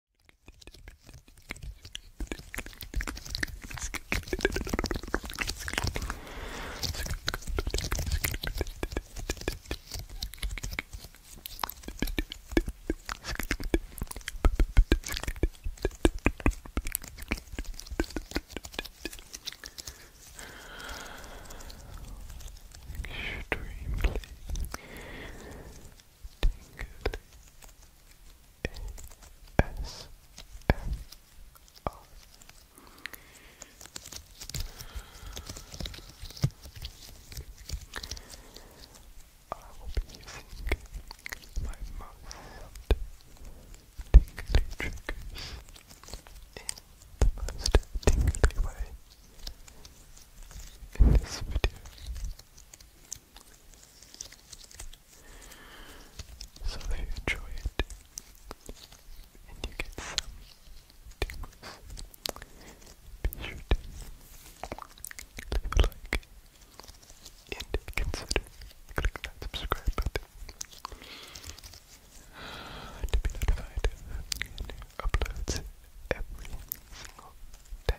Extremely Tingly ASMR. I will be my most tingly triggers in the most tingly way in this video so they enjoy it and you get some tingles. Be sure to leave a like and consider clicking that subscribe button to be notified of new uploads every single day.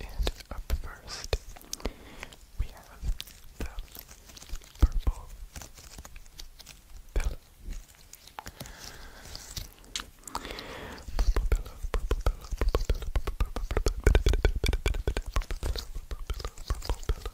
And up first, we have the purple pillow. Purple pillow, purple pillow, purple pillow, purple pillow, purple pillow, purple pillow,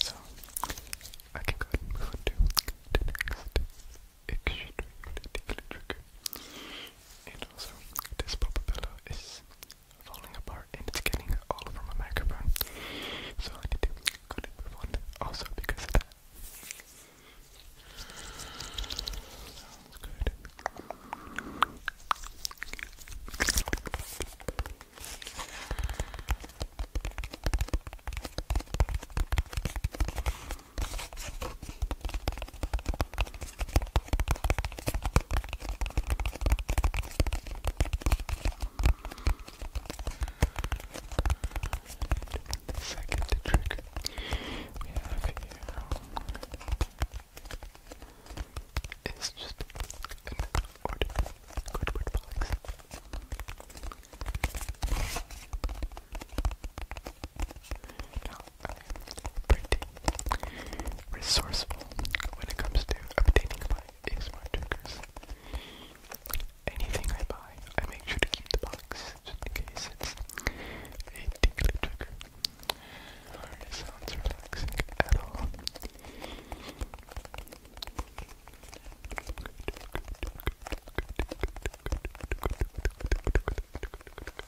So I can move on to the next extremely tickly trigger. And also, this pop pillow is falling apart and it's getting all over my microphone. So I need to cut it also because of that. The second trick we have here is just an ordinary cardboard box pretty resourceful when it comes to obtaining my ASMR triggers. Anything I buy, I make sure to keep the box just in case it sounds relaxing at all.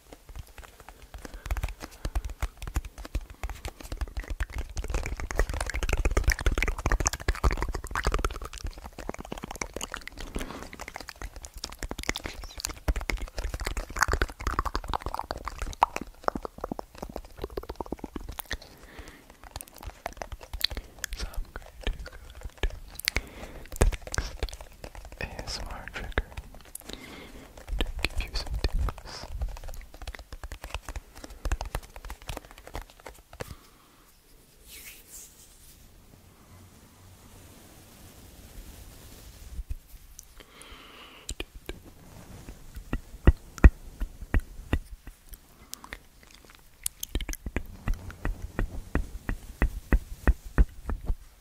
So I'm going to go to the next ASMR trigger to give you some tips.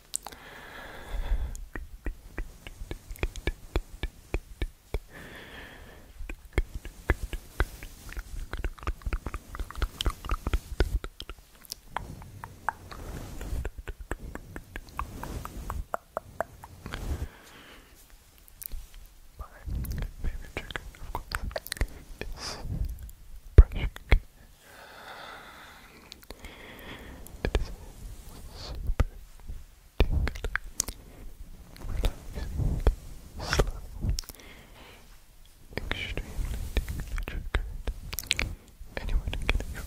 My favorite trick, of course, is brushing it is super tingly, relaxing, slow, extremely tingly triggered. Anyone can get it.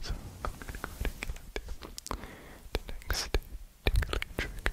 So I'm gonna go ahead and get on to the next tingling trigger. Okay.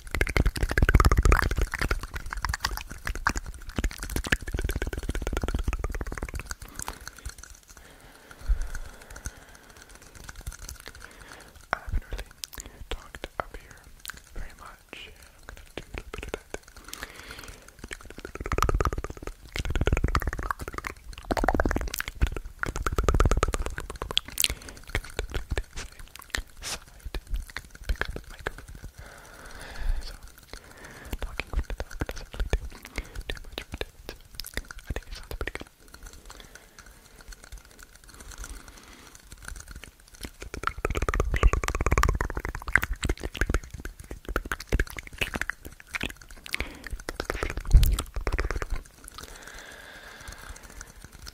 I haven't really talked up here very much. I'm gonna do a little bit of that side. Pick up the microphone. So, talking from the back doesn't really do too much of a difference. I think it sounds pretty good.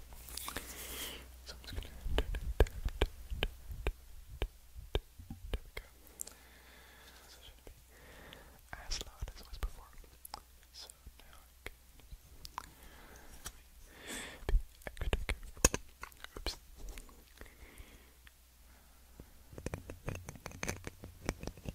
it. So I'm just gonna there we go. So it should be as loud as it was before. So now I can be extra careful. Oops. Okay.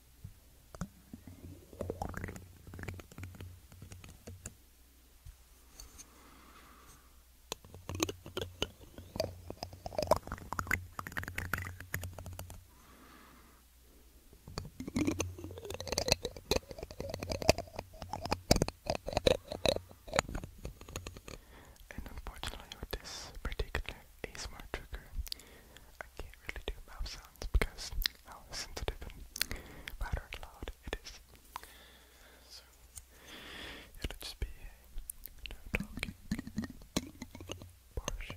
And unfortunately with this particular ASMR trigger, I can't can't really do mouth sounds because how sensitive and loud it is. So it'll just be a no talking portion.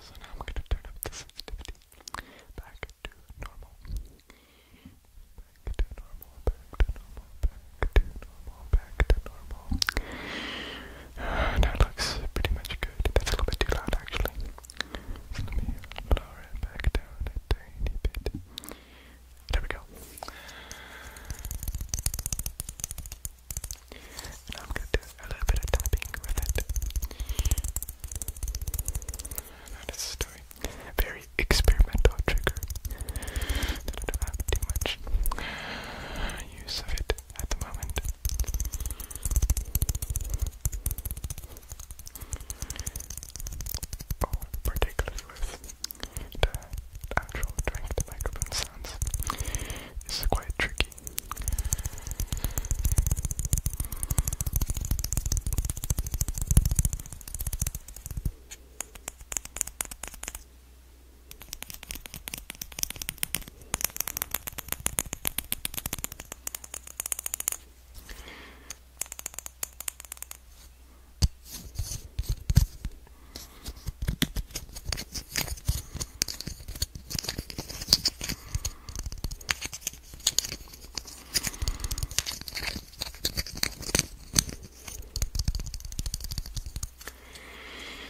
So now I'm going to turn up the sensitivity back to normal. Back to normal, back to normal, back to normal, back to normal. that looks pretty much good. That's a little bit too loud actually. let me lower it back down a tiny bit. There we go. And I'm gonna do a little bit of tapping with it. That's a Very experimental trigger. I don't have too much use of it at the moment. Oh, particularly with the actual drink, the microphone sounds. is quite tricky.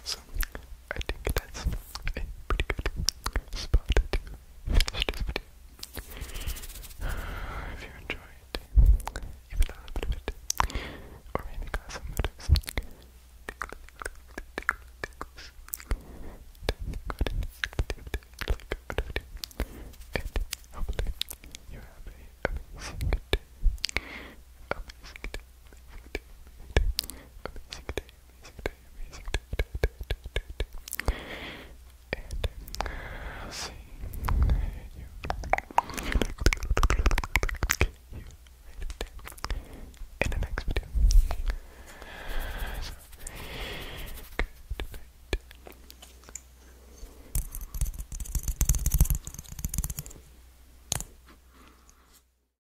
So I think that's a pretty good spot to this video. If you enjoyed even a little bit of it, or any class of motives, then go ahead and like the video, you have a amazing day, amazing day, amazing day, amazing day, amazing day, amazing day amazing day, amazing day, day, day, day, day, day. And I'll see you. you in the next video. So, good night.